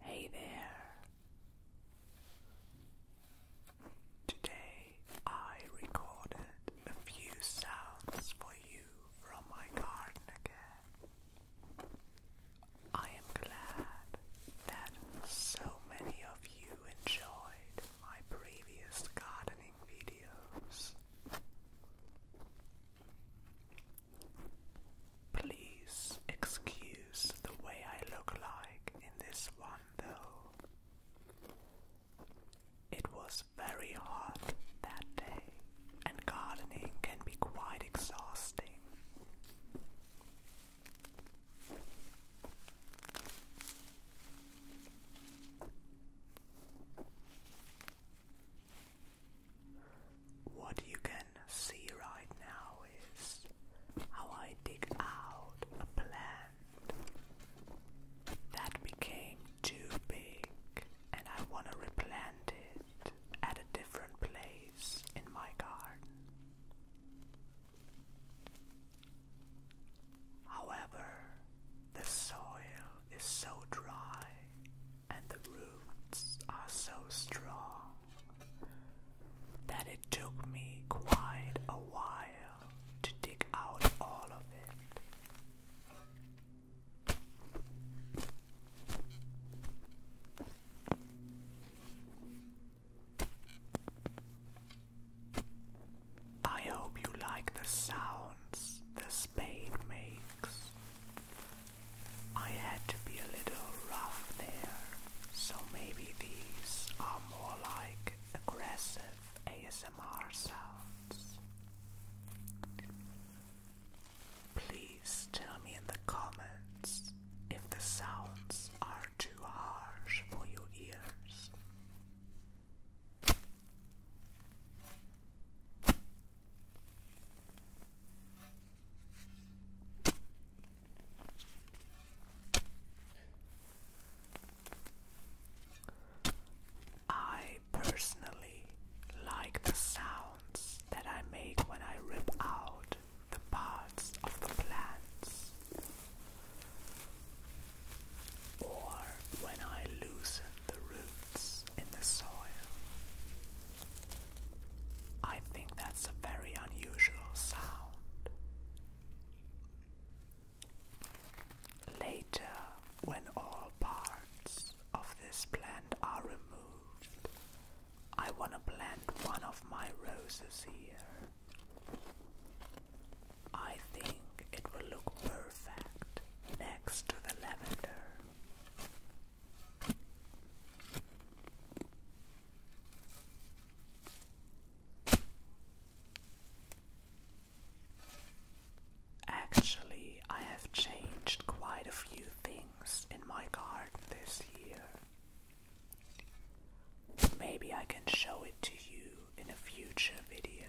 Hey there. Today I recorded a few sounds for you from my garden again. I am glad that so many of you enjoyed my previous gardening videos. Please excuse the way I look like in this one, though. It was very hot that day, and gardening can be quite exhausting. What you can see right now is how I dig out a plant that became too big and I want to replant it at a different place in my garden. However, the soil is so dry and the roots are so strong that it took me quite a while to dig out all of it. I hope you like the sounds the spade makes. I had to be a little rough there, so maybe these are more like aggressive ASMR sounds. Please tell me in the comments if the sounds are too harsh for your ears. I personally like the sounds that I make when I rip out the parts of the plants or when I loosen the roots in the soil. I think that's a very unusual sound. Later, when all parts of this plant are removed, I want to plant one of my roses here. I think it will look perfect next to the lavender. Actually, I have changed quite a few things in my garden this year. Maybe I can show it to you in a future video.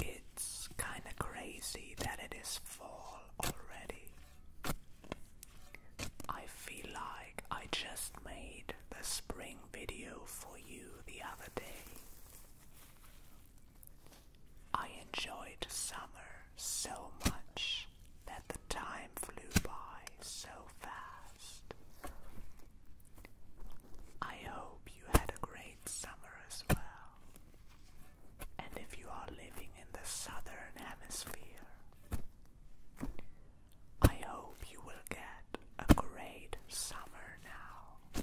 It's kinda crazy that it is fall already. I feel like I just made the spring video for you the other day. I enjoyed summer so much that the time flew by so fast. I hope you had a great summer as well. And if you are living in the southern hemisphere, I hope you will get a great summer now.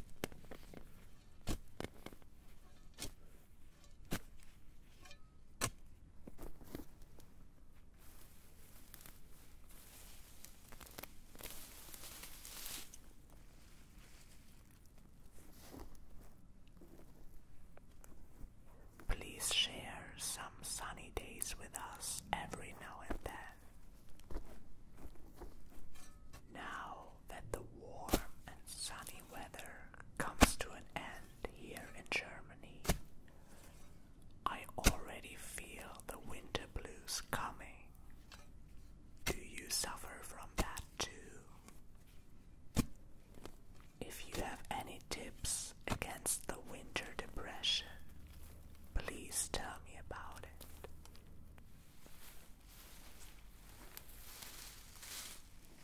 Please share some sunny days with us every now and then. Now that the warm and sunny weather comes to an end, here in Germany. I already feel the winter blues coming. Do you suffer from that too? If you have any tips against the winter depression, please tell me about it.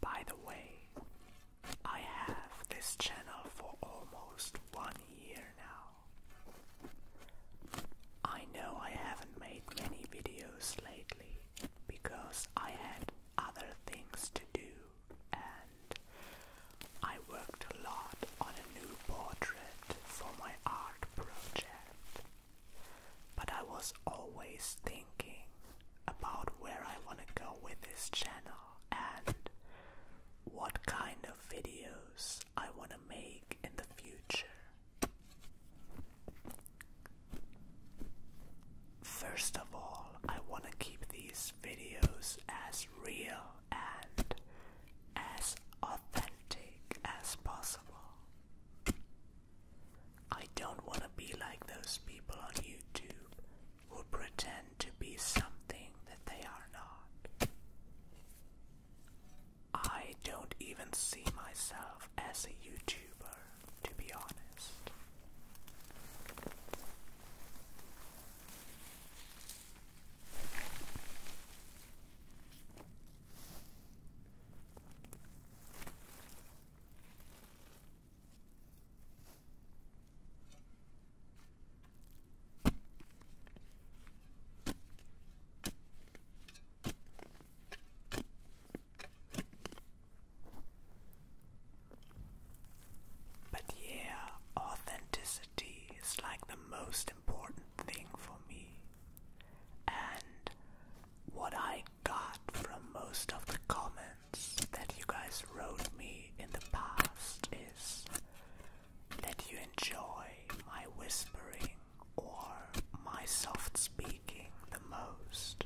By the way, I have this channel for almost one year now. I know I haven't made many videos lately because I had other things to do and I worked a lot on a new portrait for my art project. But I was always thinking about where I want to go with this channel and what kind of videos I want to make in the future. First of all, I want to keep these videos as real and as authentic as possible. I don't want to be like those people on YouTube who pretend to be something that they are not. I don't even see myself as a YouTuber, to be honest. But yeah, authenticity is like the most important thing for me. And what I got from most of the comments that you guys wrote me in the past is that you enjoy my whispering or my soft speaking the most.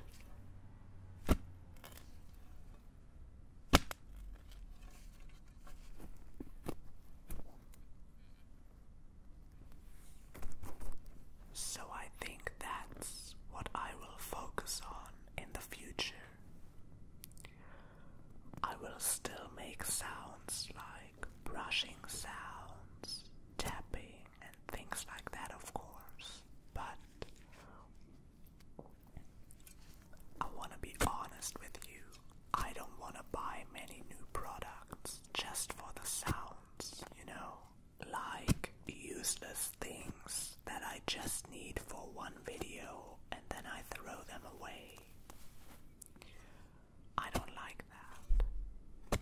So I think that's what I will focus on in the future. I will still make sounds like brushing sounds, tapping, and things like that, of course, but I want to be honest with you. I don't want to buy many new products just for the sounds, you know? like useless things that I just need for one video and then I throw them away. I don't like that.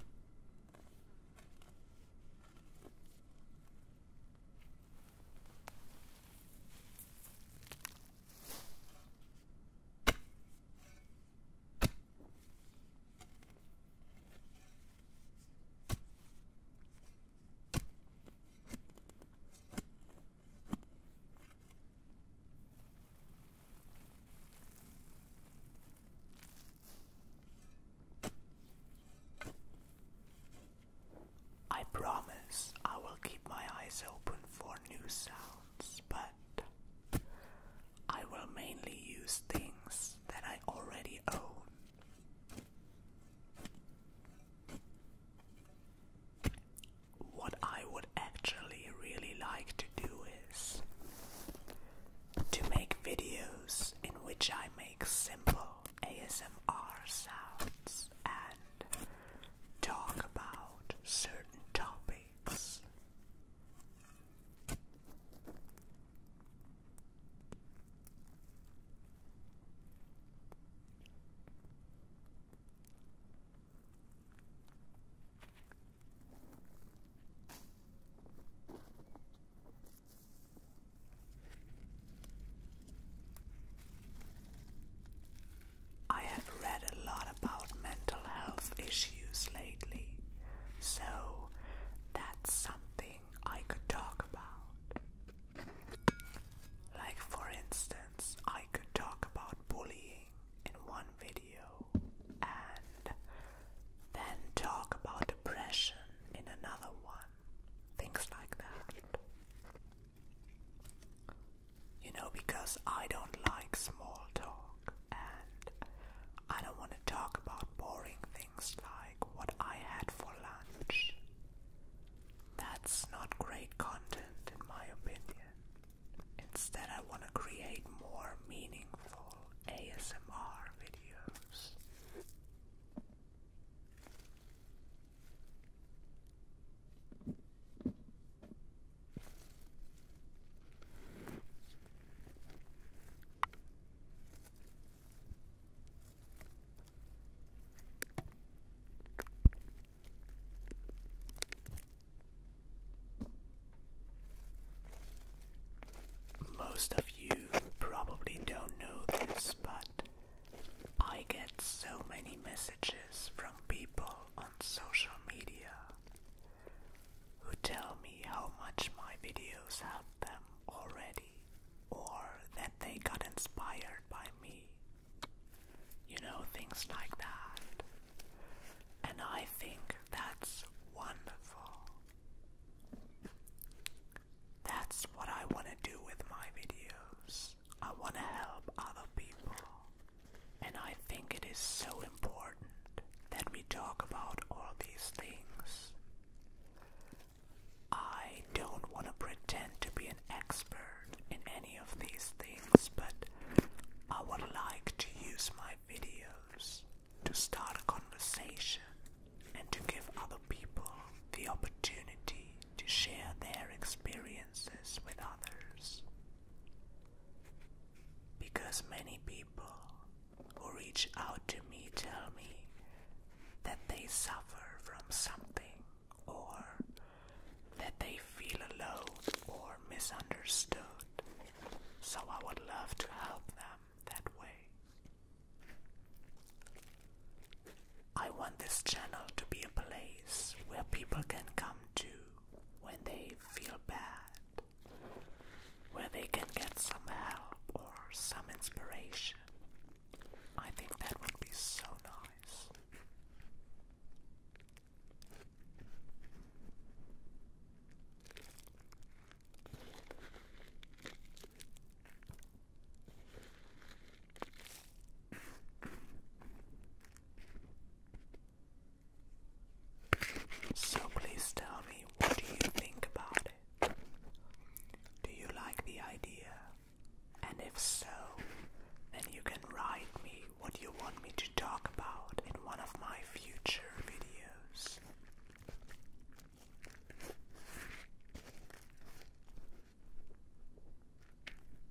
I promise I will keep my eyes open for new sounds, but I will mainly use things that I already own. What I would actually really like to do is to make videos in which I make simple ASMR sounds and talk about certain topics. I have read a lot about mental health issues lately, so that's something I could talk about. Like, for instance, I could talk about bullying in one video and then talk about depression in another one. Things like that. You know, because I don't like small talk and I don't want to talk about boring things like what I had for lunch. That's not great content, in my opinion. Instead, I want to create more meaningful ASMR videos. Most of you probably don't know this, but I get so many messages from people on social media who tell me how much my videos have them already or that they got inspired by me. You know, things like that. And I think that's wonderful. That's what I want to do with my videos. I want to help other people. And I think it is so important that we talk about all these things. I don't want to pretend to be an expert in any of these things, but I would like to use my videos to start a conversation and to give other people the opportunity to share their experiences with others. Because many people who reach out to me tell me that they suffer from something or that they feel alone or misunderstood. So I would love to help them that way. I want this channel to be a place where people can come to when they feel bad, where they can get some help or some inspiration. I think that would be so nice. So please tell me, what do you think about it? Do you like the idea? And if so, then you can write me what you want me to talk about in one of my future videos.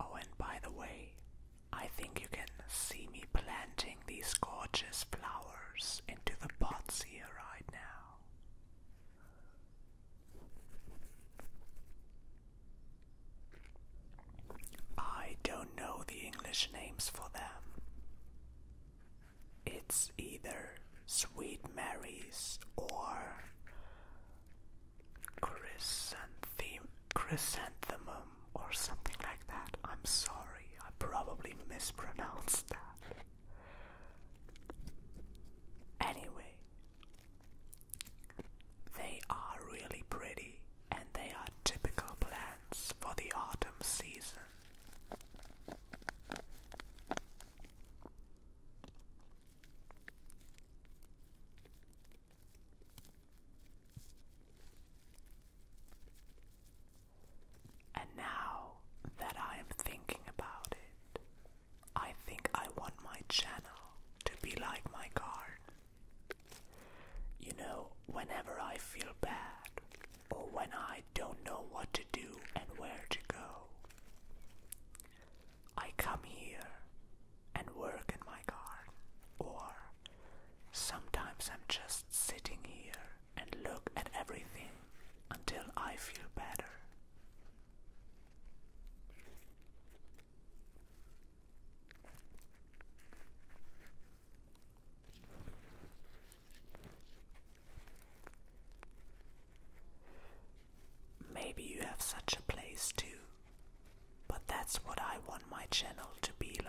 Oh, and by the way, I think you can see me planting these gorgeous flowers into the pots here right now. I don't know the English names for them. It's either Sweet Mary's or Chrysanthemum chrysanthemum or something like that. I'm sorry, I probably mispronounced that. Anyway, they are really pretty and they are typical plants for the autumn season. And now that I am thinking about it, I think I want my channel to be like my garden. You know, whenever I feel bad or when I don't know what to do and where to go, I come here and work in my garden or Sometimes I'm just sitting here and look at everything until I feel better. Maybe you have such a place too. But that's what I want my channel to be like.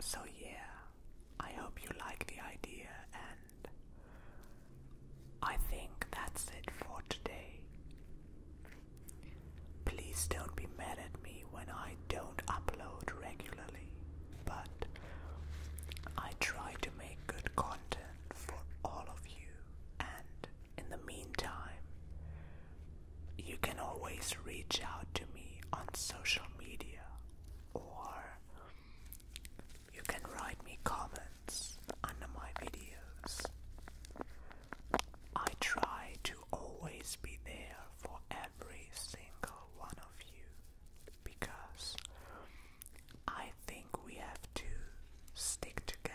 So, yeah, I hope you like the idea, and I think that's it for today. Please don't be mad at me when I don't upload regularly, but I try to make good content for all of you, and in the meantime, you can always reach out to me on social media or you can write me comments under my videos. I try to always be there for every single one of you because I think we have to stick together.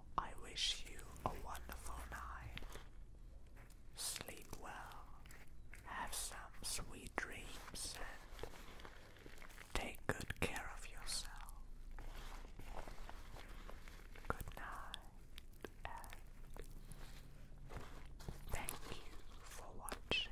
I wish you a wonderful night. Sleep well, have some sweet dreams, and take good care of yourself. Good night, and thank you for watching.